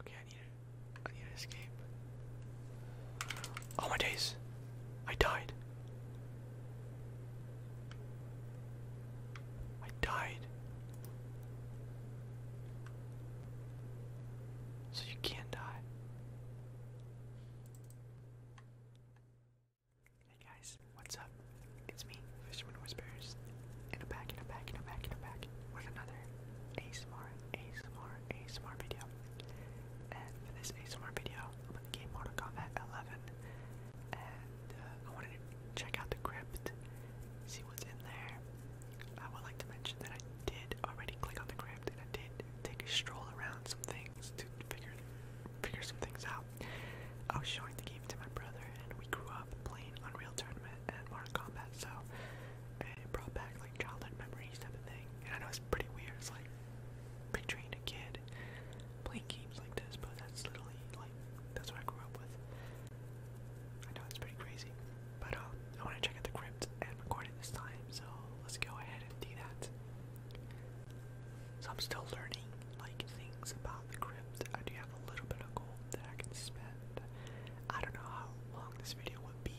Okay, I need it. I need to escape. Oh my days. I died. I died. So you can't die. Hey guys, what's up? It's me, Fisherman Whispers, and a am back, and I'm back, and I'm back, and i back with another ASMR, ASMR, ASMR video. And for this ASMR video, I'm gonna game Mortal Combat 11, and uh, I wanted to check out the crypt, see what's in there. I would like to mention that I did already click on the crypt, and I did take a stroll around some things to figure figure some things out. I was showing the game to my brother, and we grew up playing Unreal Tournament and Mortal Combat. so it brought back like childhood memories type of thing. And I know it's pretty weird, it's like picturing a kid playing games like this, but that's literally like that's what I grew up with. I know it's pretty crazy, but um, I want to check out the crypt and record it this time, so let's go ahead and do that. So I'm still learning like things about the crypt. I do have a little bit of gold that I can spend. I don't know how long this video would be,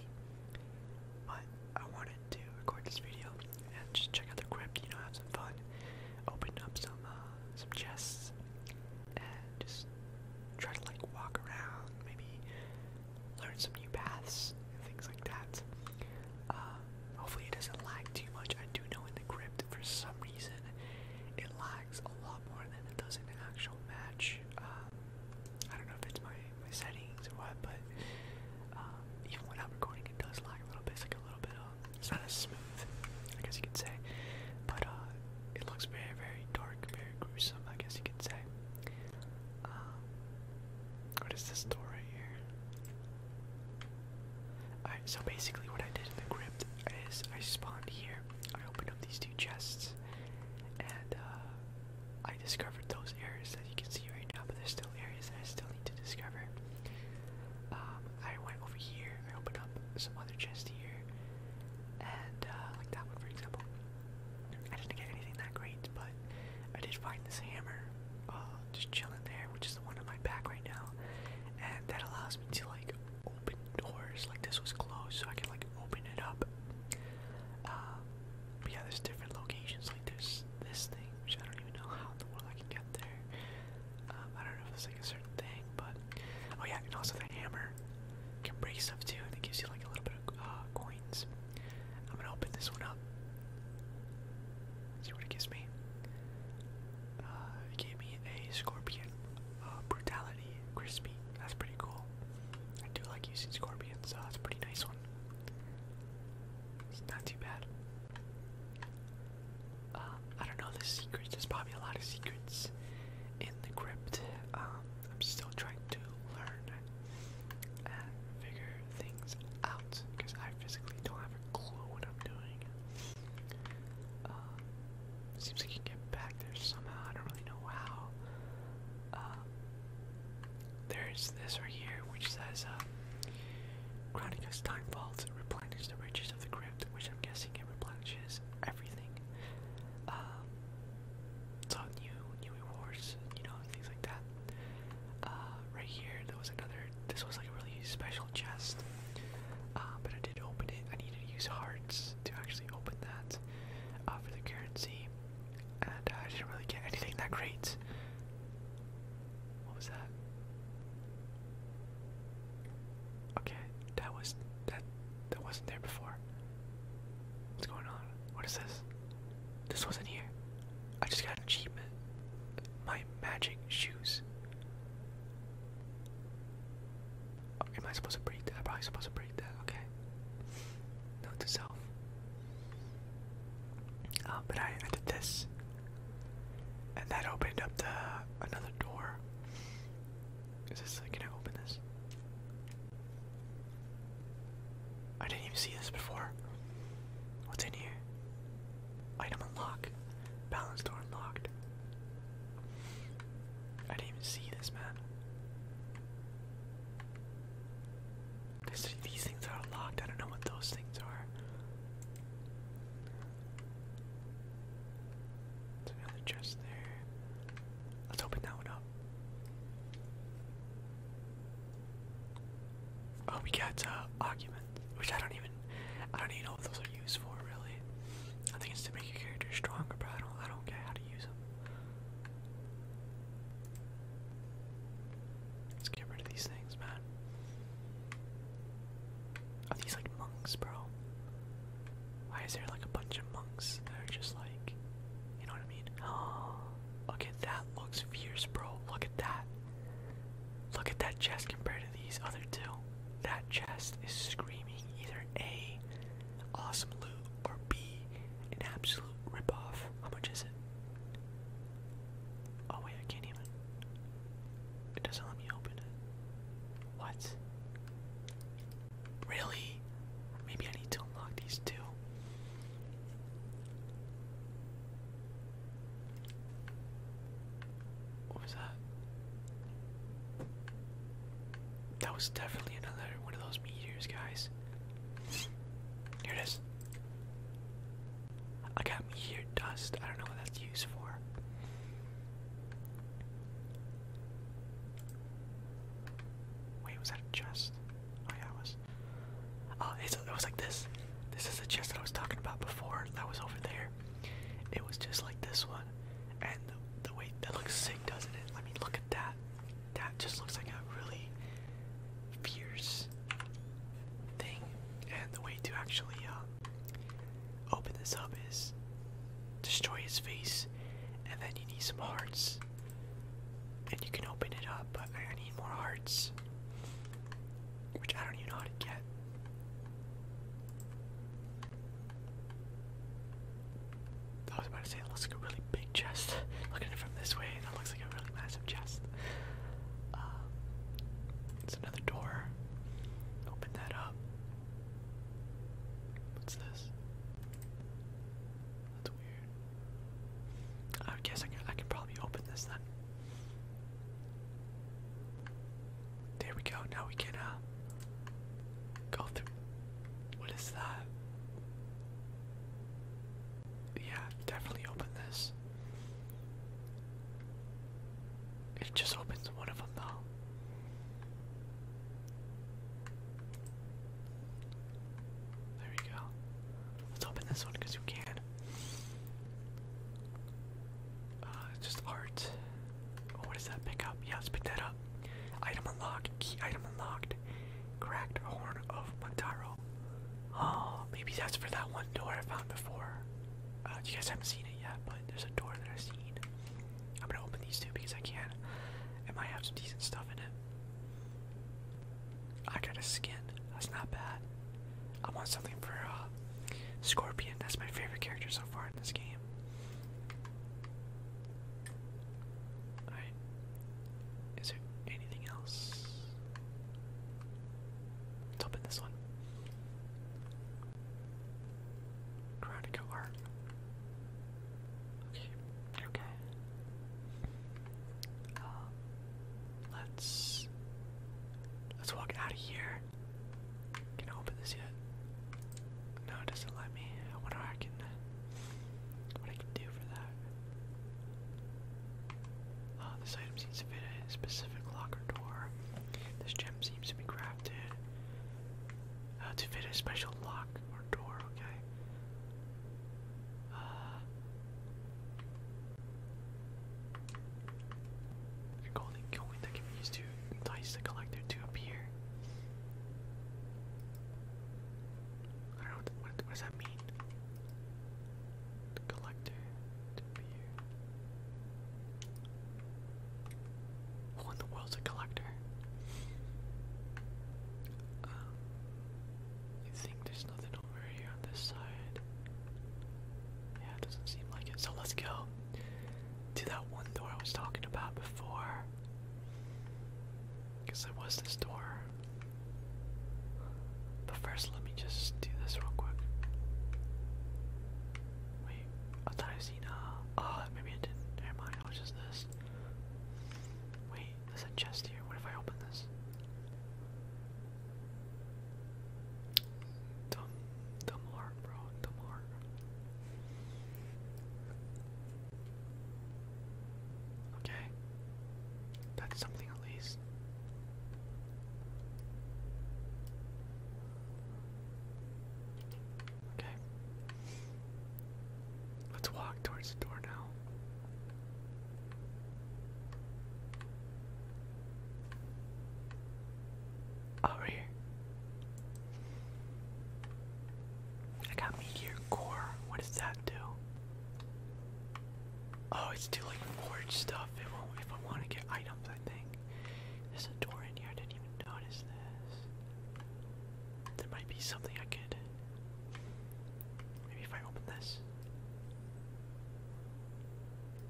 but I wanted to record this video and just check out the crypt, you know, have some fun, open up some uh, some chests, and just try to like walk around, maybe learn some new paths and things like that. Uh, hopefully it doesn't lag too much. I do know in the crypt for some reason reason it lags a lot more than it does in actual match. Um, I don't know if it's my, my settings or what, but um, even when I'm recording, it does lag a little bit. like a little bit, um, it's not as smooth, I guess you could say. But uh, it looks very, very dark, very gruesome, I guess you could say. what is this door right here? so basically what I did in the crypt is I spawned here, I opened up these two chests, and uh, I discovered those areas that you can see right now, but there's still areas that I still need to discover. Um, I went over here, I opened up some other chest here, and uh, like that one for example. I didn't get anything that great, but I did find this hammer, uh, just chilling there, which is the one on my back right now, and that allows me to like open doors. Like this was closed, so I can like open it up. Um, yeah, there's different locations. Like there's this thing, which I don't even know how in the world I can get there. Um, I don't know if it's like a certain thing, but oh yeah, and also the hammer can break stuff too, and gives you like a little bit of uh, coins. I'm gonna open this one up. See what it gives me. Uh, gave me a scorpion. Uh, brutality, crispy. That's pretty cool. I do like using scorpions, so that's a pretty nice one. It's not too bad. Um, I don't know the secrets. There's probably a lot of secrets in the crypt. Um, I'm still trying to learn and figure things out because I physically don't have a clue what I'm doing. Um, seems like you can get back there somehow. I don't really know how. Uh, there's this right here, which says, uh, Chronicus Time Vaults replenish the riches of the crypt, which I'm guessing it replenishes everything. Um, so new, new rewards, you know, things like that. Uh, right here, there was another this was like a really special chest, uh, but I did open it. I needed to use hearts to actually open that uh, for the currency, and uh, I didn't really get anything that great. What was that? Okay, that was that that wasn't there before. What's going on? What is this? This wasn't here. I just got an achievement. My magic shoes. Oh, am I supposed to breathe that? I'm probably supposed to breathe that, okay. Note to self. Uh, but I, I did this. And that opened up the another door. Is this like, you know open this? I didn't even see this before. What's in here? Item unlocked. Balance door unlocked. I didn't even see this, man. This, these things are locked. I don't know what those things are. another chest there. Let's open that one up. Oh, we got uh, which I don't even, I don't even know what those are used for really. I think it's to make your character stronger, but I don't, I don't get how to use them. Let's get rid of these things, man. Are these like monks, bro? Why is there like a bunch of monks that are just like, you know what I mean? Oh, look at that, looks fierce, bro. Look at that. Look at that chest compared to these other two. That chest is screaming either A, awesome loot, or B, an absolute ripoff. How much is it? Oh wait, I can't even. It doesn't let me open it. What? Really? Maybe I need to unlock these two. What was that? That was definitely another one of those meteors, guys. Here it is. I got meteor dust. I don't know what that's used for. Wait, was that a chest? Oh yeah, it was. Oh, it's, it was like this. This is the chest that I was talking about before. That was over there. It was just like this one, and the, way that looks sick, doesn't it? I mean, look at that. That just looks like a really fierce thing. And the way to actually uh, open this up is destroy his face, and then you need some hearts, and you can open it up. But I need more hearts which I don't even know how to get. I was about to say it looks like a really big chest. Looking from this way, that looks like a really massive chest. Um, it's another door. Open that up. What's this? That's weird. I guess I can, I can probably open this then. There we go. Now we can uh go through. What is that? Yeah, definitely open this. It just opens one of them though. There we go. Let's open this one because you can. Uh, just art. Oh, what does that pick up? Yeah, let's pick that up. Item unlocked. Key item unlocked. Cracked horn of Montaro. Oh, maybe that's for that one door I found before. Uh, you guys haven't seen it yet, but there's a door that I've seen. I'm gonna open these two because I can. It might have some decent stuff in it. I got a skin. That's not bad. I want something for uh, Scorpion. That's my favorite character so far in this game. Alright. Is there anything else? open this one. Karate art. Okay. Okay. Uh, let's let's walk out of here can I open this yet? No, it doesn't let me. I wonder I can what I can do for that. Uh, this item seems to fit a specific locker door. This gem seems to be crafted uh, to fit a special lock or door, okay? Uh, a golden coin that can be used to entice the collector to appear. I don't know, what, what, does that mean? collector to appear. Who in the world's a collector? I um, think there's nothing over here on this side. Yeah, it doesn't seem like it. So let's go to that one door I was talking about before. Because there was this door. But first, let me just do this real quick. Wait, I thought I seen a. Uh, uh, maybe I did Never mind, it was just this. Wait, there's a chest here. What if I open this? Dumb, dumb bro. Dumb Okay. That's something at least. Okay. Let's walk towards the door now. Over here. I got Meteor Core. What does that do? Oh, it's to like forge stuff if I, if I want to get items, I think. There's a door in here. I didn't even notice this. There might be something I could. Maybe if I open this.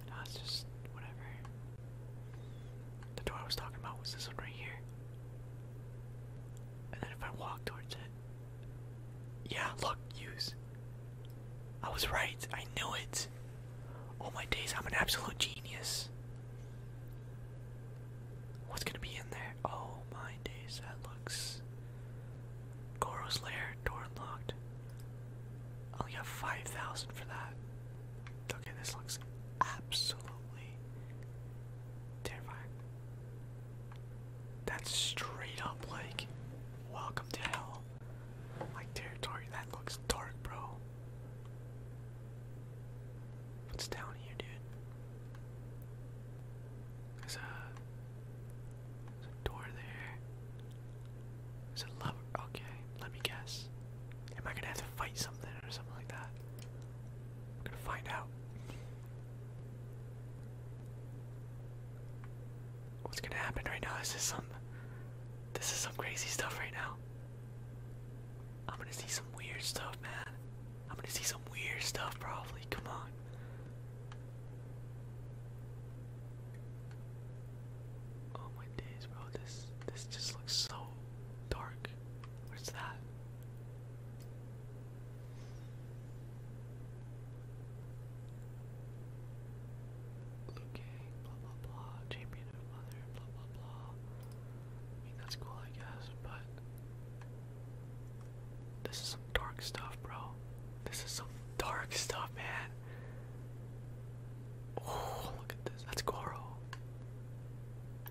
No, it's just whatever. The door I was talking about was this one right here. And then if I walk towards it. Yeah, look, use. I was right. I knew it. Oh my days, I'm an absolute genius. What's gonna be in there? Oh my days, that looks. Goro's lair, door unlocked. I only have 5,000 for that. Okay, this looks absolutely terrifying. That's straight up like welcome to hell. Like territory. That looks dark, bro. What's down here, dude? There's a, door there. Is Okay, let me guess. Am I gonna have to fight something or something like that? I'm gonna find out. What's gonna happen right now? This is some. This is some crazy stuff right now. I'm gonna see some weird stuff, man. I'm gonna see some weird stuff, probably. Come on. Oh my days, bro! This this just looks so dark. Where's that? Liu blah blah blah, champion of mother, blah blah blah. I mean that's cool, I guess, but this is some dark stuff, bro. This is some dark stuff, man. Oh, look at that's Goro.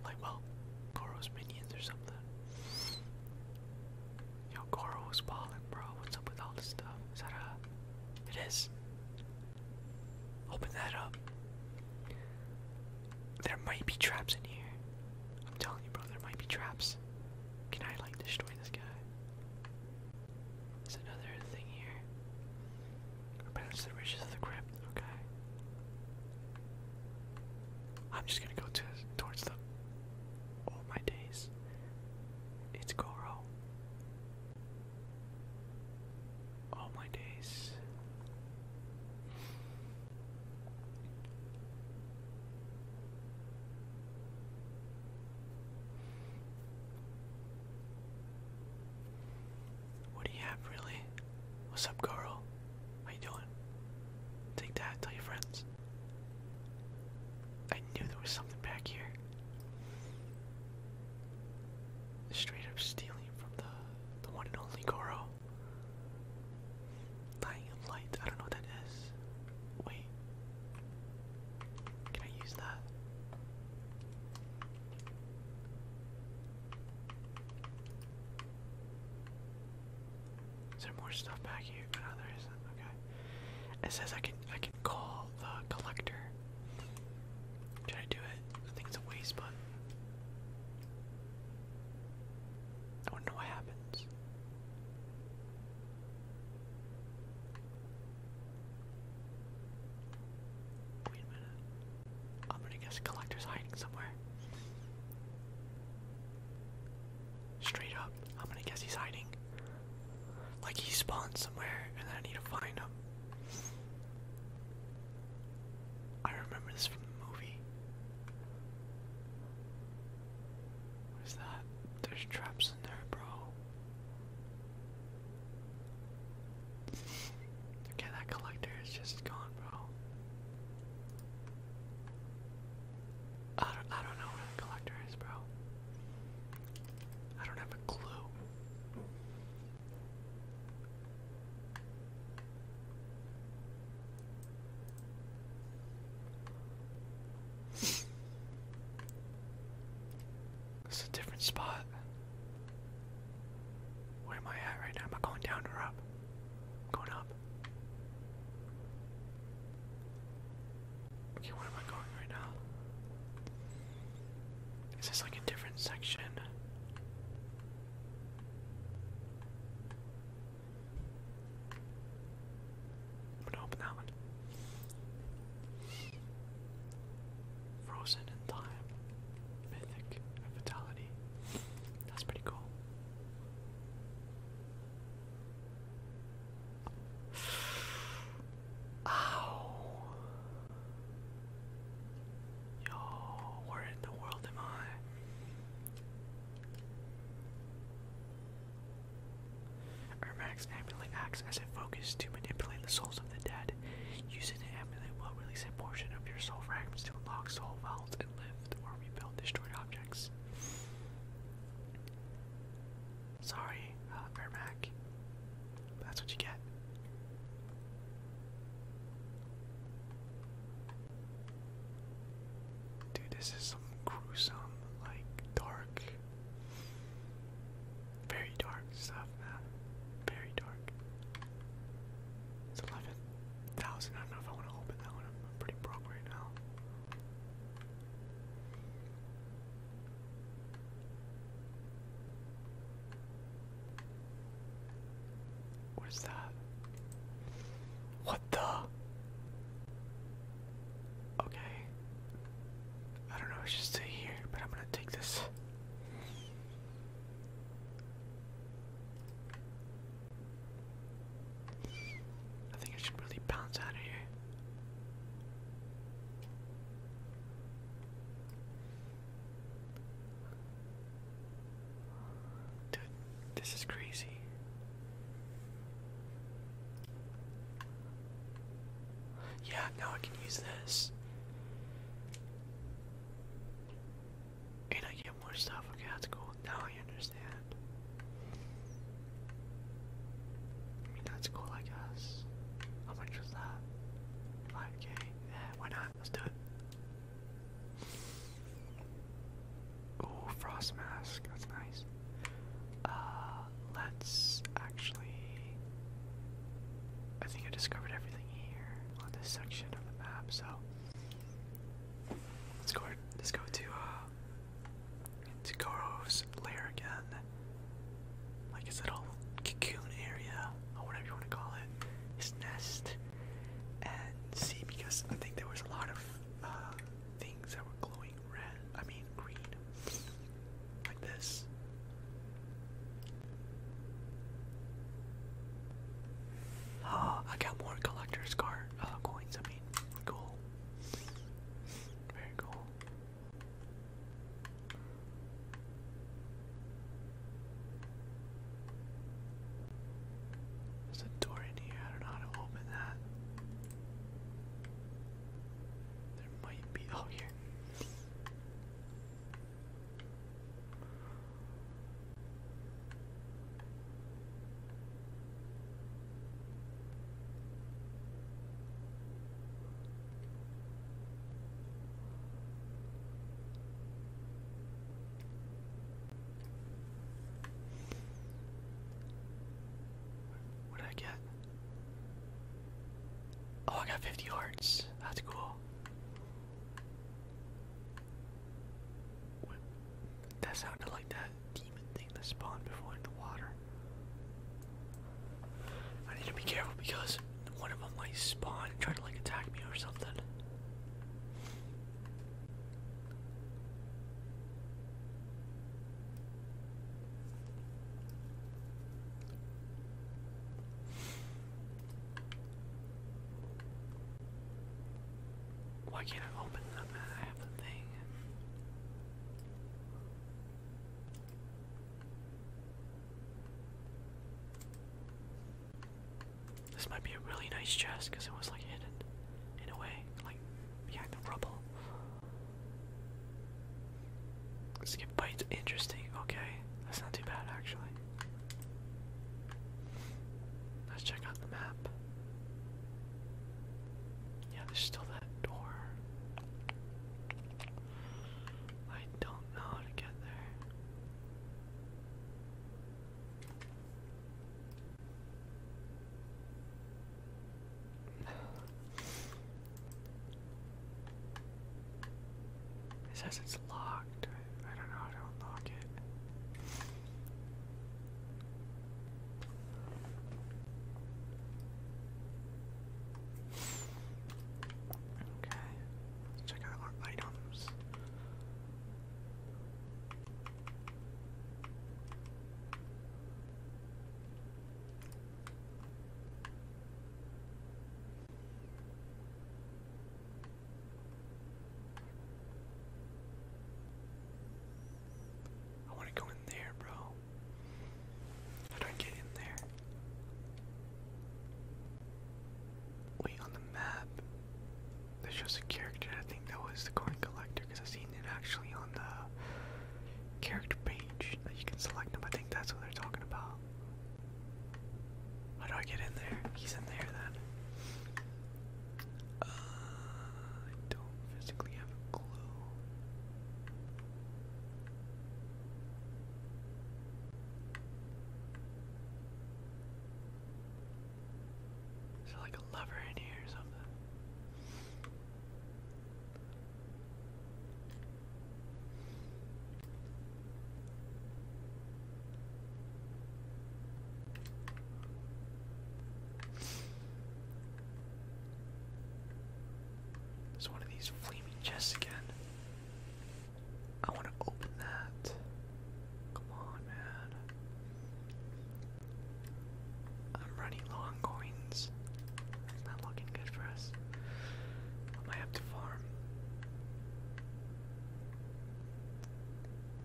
Like, well, Goro's minions or something. Yo, Goro was bro. What's up with all this stuff? Is that a... It is. Open that up. There might be traps in here. I'm telling you, bro, there might be traps. Can I, like, destroy this guy? There's another thing here. Revenge the riches of the crypt. Okay. I'm just gonna go to towards the. Oh my days. It's Goro. Oh my days. What do you have, really? What's up, Goro? How you doing? Take that, tell your friends. I knew there was something back here. Straight up stealing from the the one and only Goro. Dying of light, I don't know what that is. Wait. Can I use that? Is there more stuff back here? Oh, no, there isn't. Okay. It says I can I can call the collector. Should I do it? I think it's a waste button. I wonder what happens. Wait a minute. I'm gonna guess collector's hiding somewhere. Straight up, I'm gonna guess he's hiding. Like he spawned somewhere, and I need to find him. I remember this from the movie. What is that? There's traps in there, bro. Okay, that collector is just gone, bro. I don't, I don't know where the collector is, bro. I don't have a clue. It's a different spot. Where am I at right now? Am I going down or up? going up. Okay, where am I going right now? Is this like a different section? I'm open that one. Frozen in time. Mythic and Vitality. That's pretty cool. Ow. Yo, where in the world am I? Ermax ambulant acts as a focus to manipulate the souls of the dead. God. Use an amulet will release a portion of your soul fragments to unlock soul vaults and lift or rebuild destroyed objects. Sorry, uh, Vermac. That's what you get. Dude, this is some gruesome, like, dark very dark stuff, man. Very dark. It's 11,000. I don't know if I want to open that one. I'm pretty broke right now. What is that? What the? Okay. I don't know, it's just here, but I'm gonna take this. I think I should really bounce out of here. Dude, this is crazy. Yeah, now I can use this. And I get more stuff. Okay, that's cool. Now I understand. that's cool, I guess. How much was that? 5k? Yeah, why not? Let's do it. Ooh, frost mask. That's nice. Uh, let's actually. I think I discovered everything here on this section of the map, so let's go. Let's go to uh, to Goro's lair again, like his little cocoon area or whatever you want to call it, his nest, and see because I think there was a lot of uh, things that were glowing red. I mean green, like this. Oh, I got more collector's card uh, coins. I mean, cool. Very cool. There's a door in here. I don't know how to open that. There might be. Oh, here. What did I get? Oh, I got 50 hearts. That's cool. That sounded like that demon thing that spawned before in the water. I need to be careful because one of them might spawn and try to like attack me or something. Why can't I open them? I have the thing. This might be a really nice chest because it was like hidden in a way, like behind the rubble. Skip bites, interesting. Okay, that's not too bad actually. Let's check out the map. Yeah, there's still that door. I don't know how to get there. It says it's locked. I don't know how to unlock it. Okay, check out our items. I want to go in there, bro. How do I get in there? Wait, on the map, that shows a character. I think that was the coin collector i seen it actually on the character page that you can select them. I think that's what they're talking about. How do I get in there? He's in there then. Uh, I don't physically have a clue. Is there like a lever in here or something? There's one of these flaming chests again. I want to open that. Come on, man. I'm running low on coins. It's not looking good for us. I might to farm.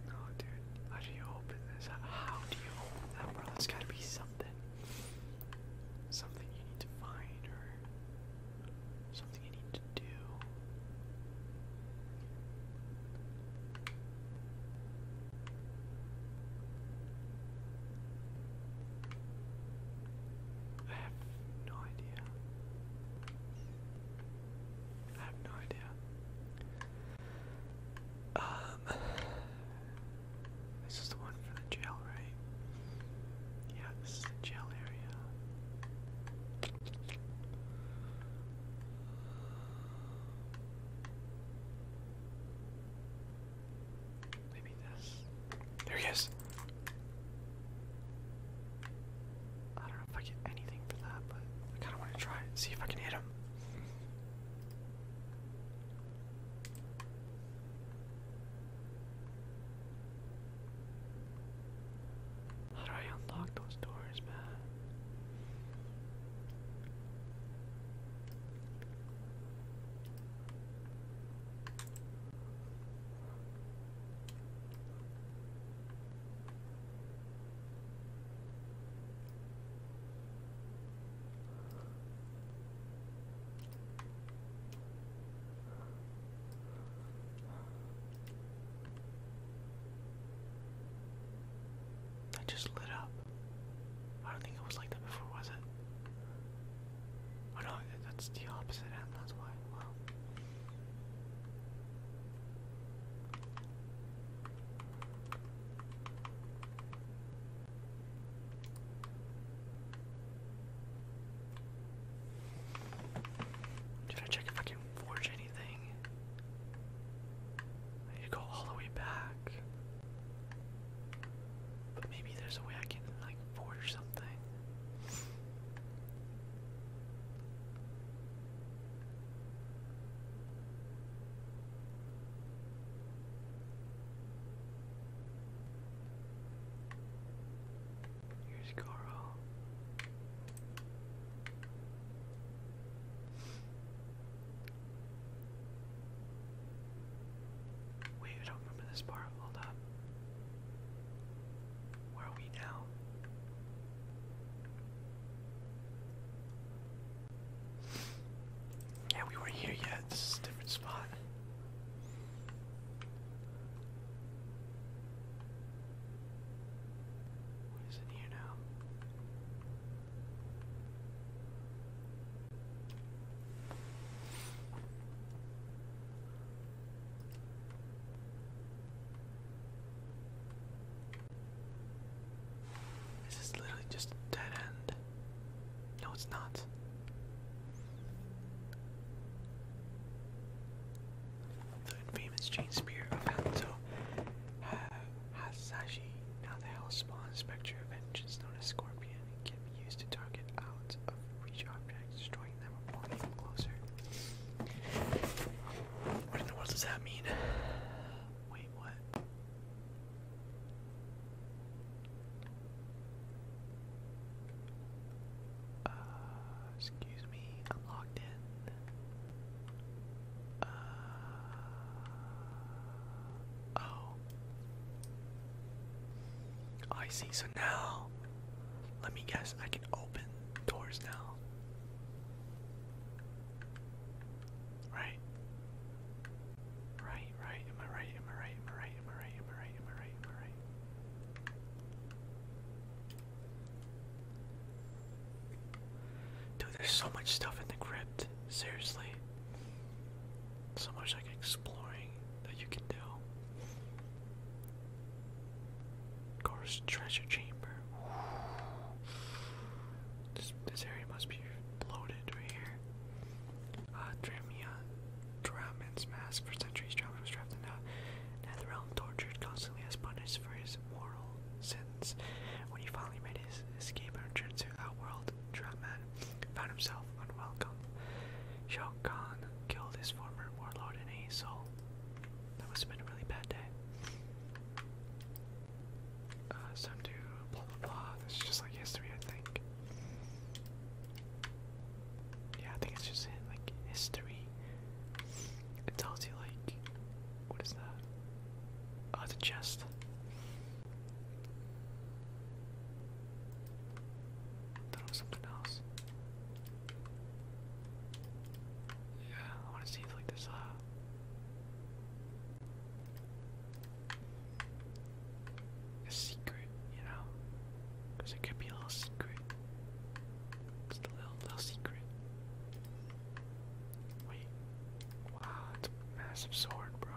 No, dude. How do you open this? How do you open that, bro? That's gotta be something. Something you need to find or something you need to do. I have no idea. I have no idea. Um, this is the one for the jail, right? Yeah, the jail area. Maybe this. There he is. I don't know if I get anything for that, but I kind of want to try see if I can hit him. How do I unlock those doors, man? That just lit up. I don't think it was like that before, was it? Oh no, that's the opposite end, that's why. Did I check if I can forge anything? I need to go all the way back. But maybe there's a way I can like or something. Here's Carl. Wait, I don't remember this part. Hold up. Where are we now? Yeah, we weren't here yet. This is a different spot. What is in here now? This is literally just a dead end. No, it's not. The infamous chain spear of Hanzo has Saji. now the Hellspawn Spectre of Vengeance known as Scorpion, can be used to target out of reach objects, what in the world does that mean? Wait, what? Uh, excuse me, I'm locked in. Uh, oh. oh. I see, so now, let me guess, I can open doors now. Right. Right, right, am I right, am I right, am I right, am I right, am I right, am I right, am I right? Dude, there's so much stuff in the crypt. Seriously. So much like exploring that you can do. Gar's treasure chamber. This this area must be bloated right here. Ah, Dramia, Draman's mask for centuries. Draman was trapped in the Netherrealm, tortured constantly as punished for his moral sins. When he finally made his escape and returned to world, Draman found himself unwelcome. Shao killed his former warlord and a soul that must have been a really bad day. Uh, some do blah blah blah. This is just like history, I think. Yeah, I think it's just like history. It tells you like what is that? Uh, the chest. Thought was something else. Yeah, I want to see if like this. Uh... A secret, you know? Because it could be a little secret. It's a little, little secret. Wait. Wow, it's a massive sword, bro.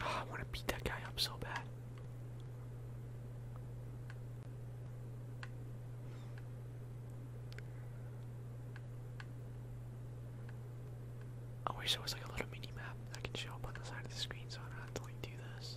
Oh, I want to beat that guy up so bad. I wish there was like a little mini map that can show up on the side of the screen so I don't have to like do this.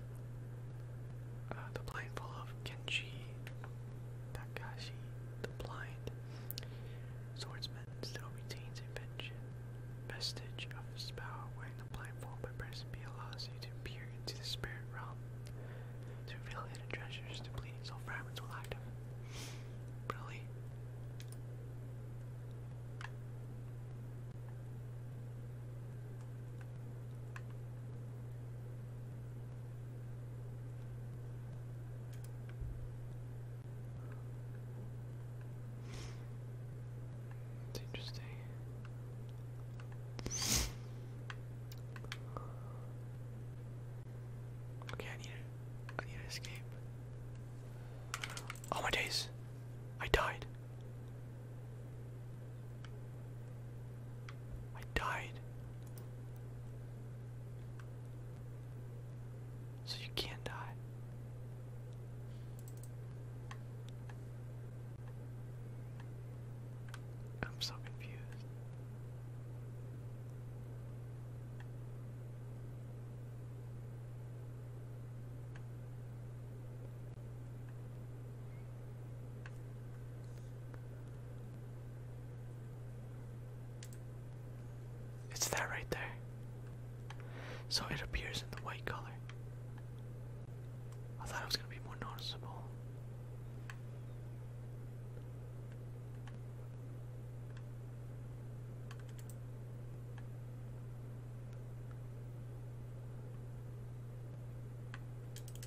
Uh, the Blindful of Kenshi Takashi the Blind Swordsman still retains a pension. Vestige of his power wearing the blindfold by pressing B allows you to peer into the spirit realm to reveal hidden treasures to soul fragments will active. Really? It's interesting. Okay, I need it. I need to escape. Oh my days! I died. I died. So you can't die. I'm so confused. It's that right there. So it appears in the white color. I thought it was going to be more noticeable.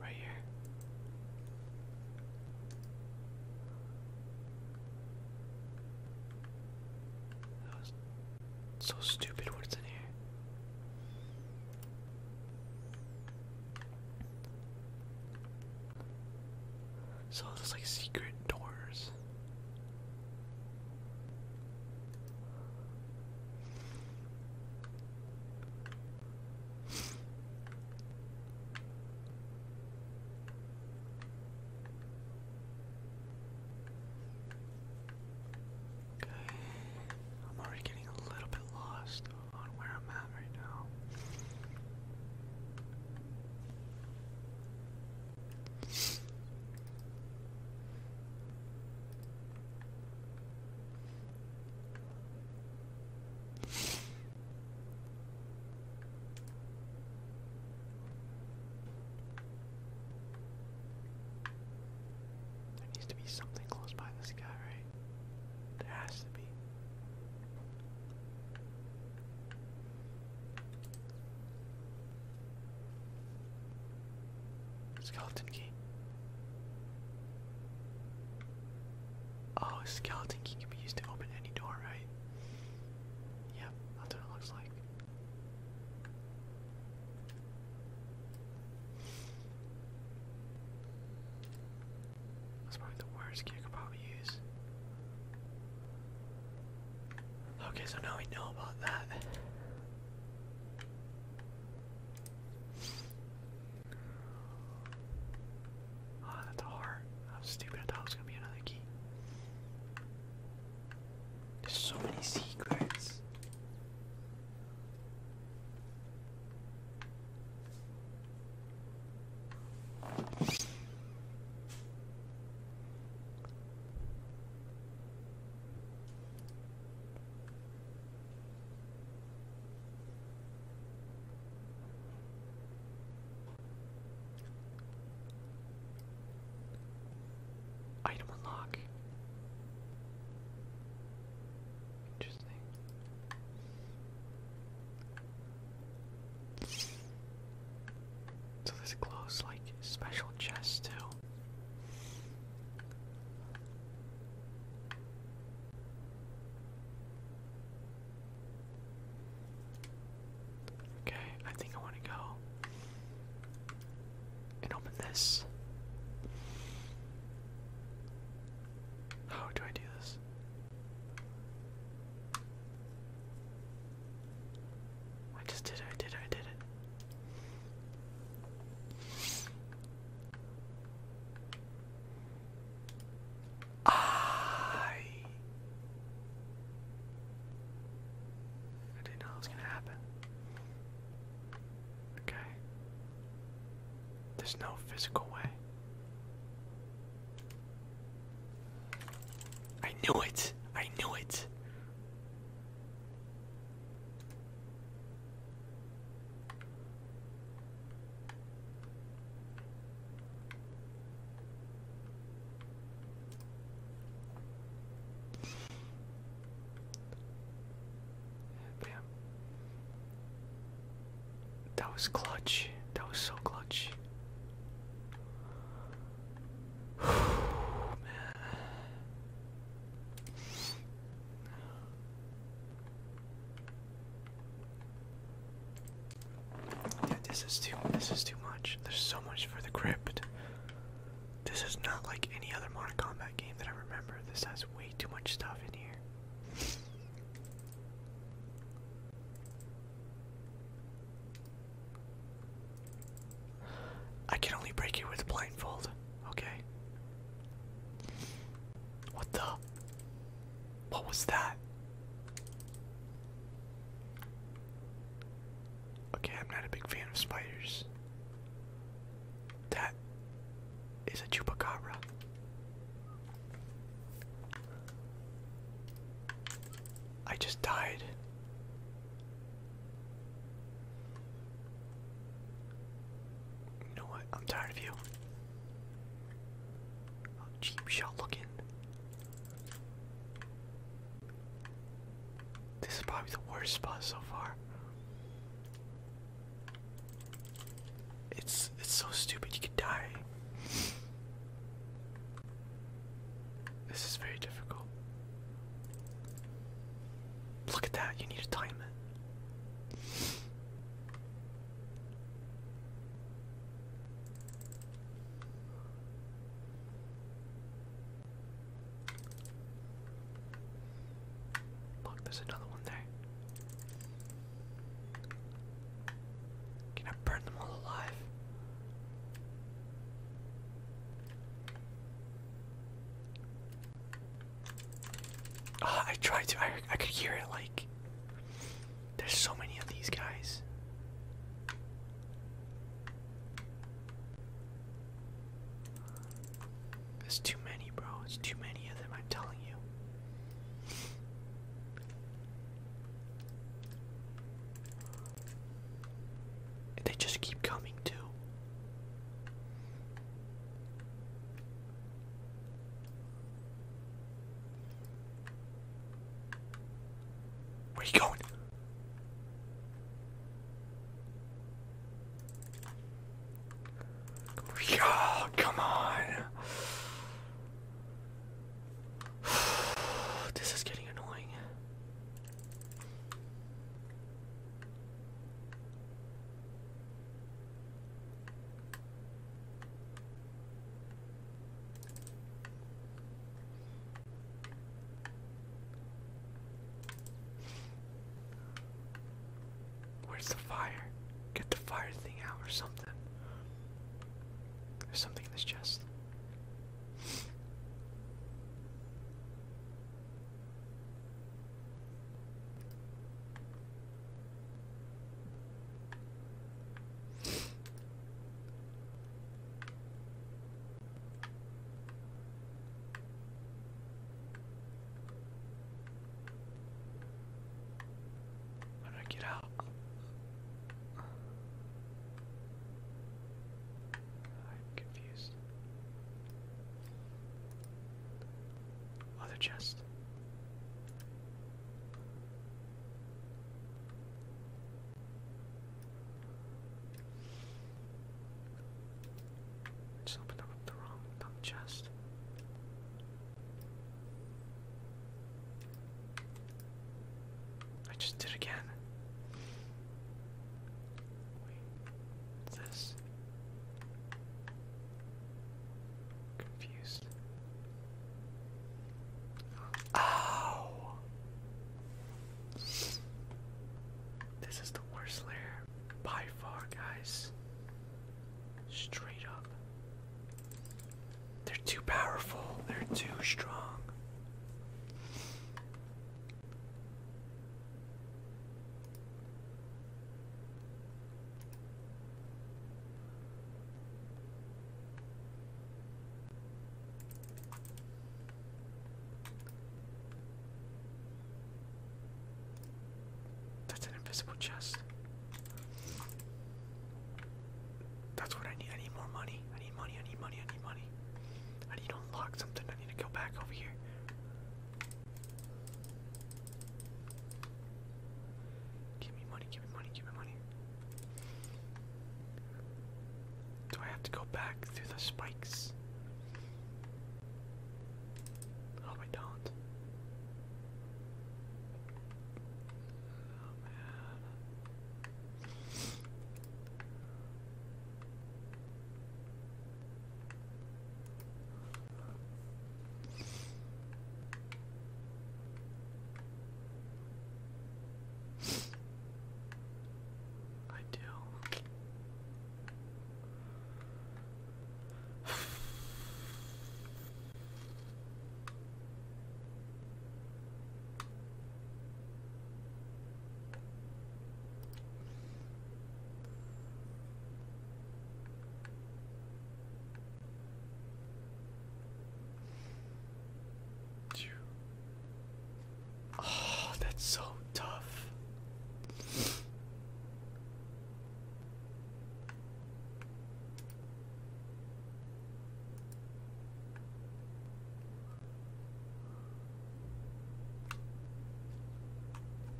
Right here. That was so stupid what's in here. So there's like secret doors. Okay, I'm already getting a little bit lost on where I'm at right now. There needs to be something close by this guy, right? There has to be. Skeleton key. Oh, skeleton key can be used to open any door, right? Yep, that's what it looks like. That's probably the worst key I could probably use. Okay, so now we know about that. Oh, that's hard. I was stupid. I thought it was gonna be another key. There's so many secrets. Item unlock. Interesting. So this glows like special chests too. Okay, I think I want to go and open this. How do I do this? I just did it, I did it, I did it. I I didn't know it was gonna happen. Okay. There's no physical way. I knew it. I knew it. That was clutch. That was so clutch. Man. this is too this is too much. There's so much for the crypt. This is not like any other Modern Combat game that I remember. This has way too much stuff in here. I can only break you with a blindfold. Okay. What the? What was that? Okay, I'm not a big fan of spiders. That is a chupacabra. I just died. You know what? I'm tired of you. cheap oh, shot looking. This is probably the worst spot so far. It's it's so stupid you could die. This is very difficult. Look at that, you need to time it. Look, there's another one there. Can I burn them all alive? Ah, I tried to. I, I could hear it like. There's so many of these guys. There's too many, bro. There's too many of them, I'm telling you they just keep coming too. Where are you going? Oh, come on. this is getting annoying. Where's the fire? Get the fire thing out or something. There's something in this chest. How do I get out? I'm confused. Other chest. just opened up the wrong dump chest. I just did again. Wait, this confused. Oh, this is the worst layer by far, guys. Straight up. They're too powerful. They're too strong. That's an invisible chest. That's what I need. I need more money. I need money. I need money. I need money. I need to unlock something. I need to go back over here. Give me money. Give me money. Give me money. Do I have to go back through the spikes? Oh, I don't. Oh man. I do. Oh, that's so tough.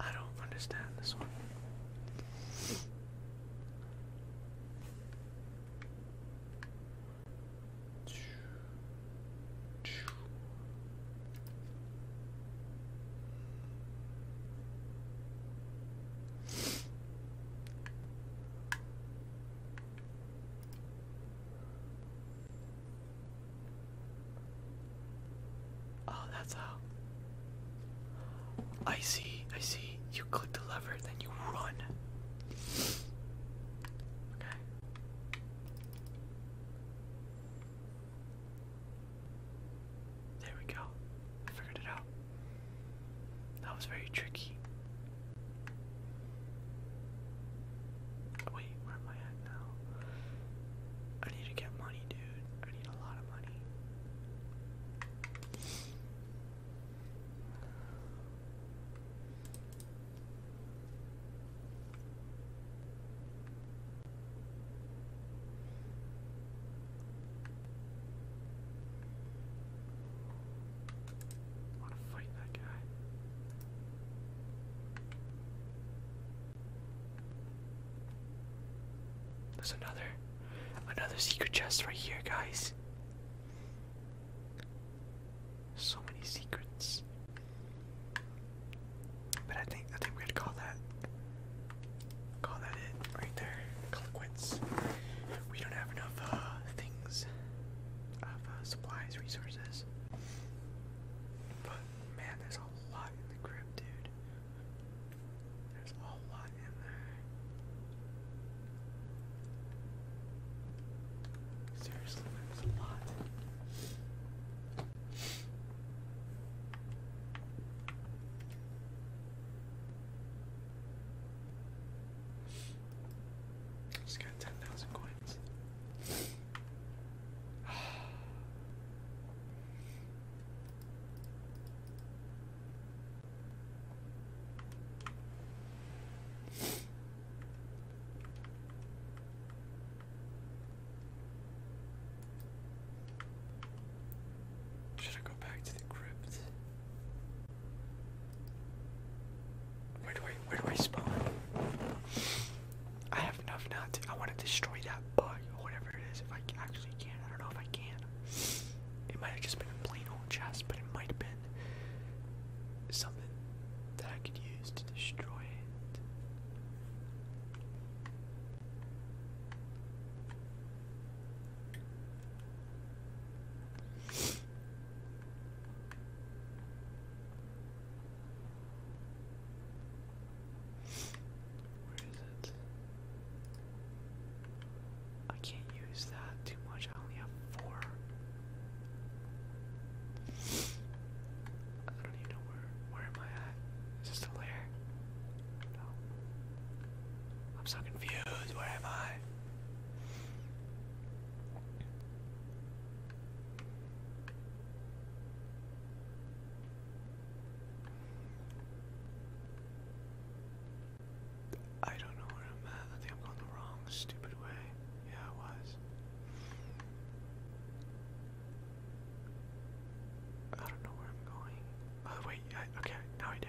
I don't understand this one. Oh, that's how. I see, I see. You click the lever, then you run. Okay. There we go. figured it out. That was very tricky. Wait, where am I at now? I need to get money, dude. I need a lot of money want to fight that guy. There's another, another secret chest right here, guys. So many secrets. But I think I think we're call that call that it right there. Call it quits. We don't have enough uh, things of uh, supplies, resources. But man, there's a lot in the crib, dude. There's a lot in there. Seriously, there's a lot. Just got 10,000 coins. Should I go back to the crypt? Where do I where do I spawn? I have enough nuts. I want to destroy that bug or whatever it is if I actually can. I don't know if I can. It might have just been a plain old chest, but it might have been something that I could use to destroy it. Where is it? I can't use that too much. I only have four. I don't even know where. Where am I at? Is this the lair? I'm so confused. Where am I? I don't know where I'm at. I think I'm going the wrong stupid way. Yeah, I was. I don't know where I'm going. Oh, wait. I, okay, now I do.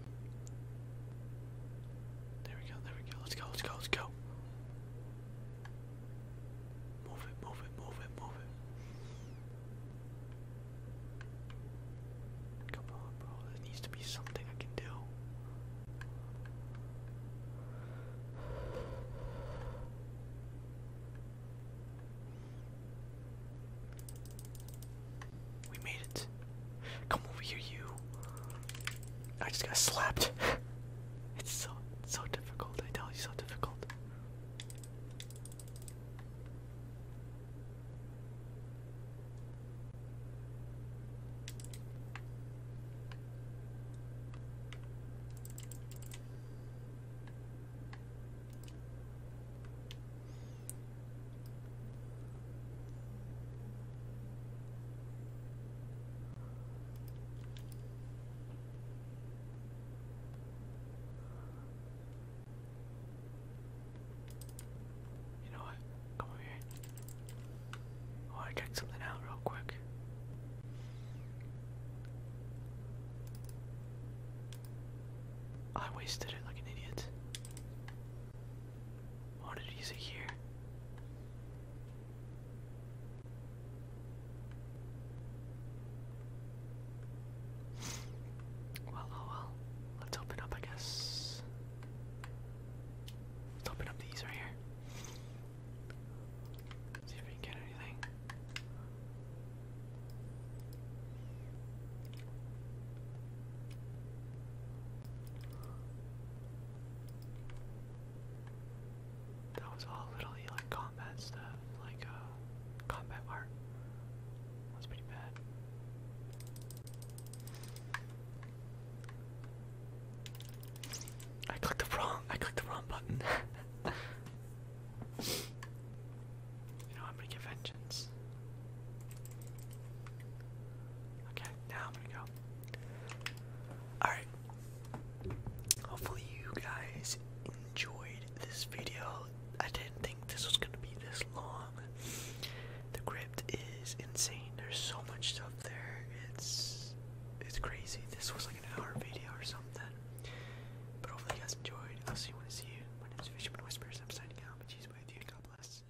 There we go, there we go. Let's go, let's go, let's go. Move it, move it, move it, move it. Come on, bro. There needs to be something I can do. We made it. Come over here, you. I just got slapped. it's so so difficult. I tell you, so difficult. You know what? Come over here. want to check something out real quick. I wasted it like an idiot. What did he say here? Well, oh well. Let's open up, I guess. Let's open up these right here. See if we can get anything. That was all little like combat stuff, like uh, combat art. That's pretty bad. I clicked the wrong. I clicked the wrong button. you know I'm gonna get vengeance. Okay, now I'm gonna go Alright. Hopefully, you guys enjoyed this video. I didn't think this was going to be this long. The crypt is insane. There's so much stuff there. It's it's crazy. This was like an hour video or something. But hopefully you guys enjoyed. I'll see you when I see you. My name is Fisherman Whispers. I'm signing out. But she's with you. God bless.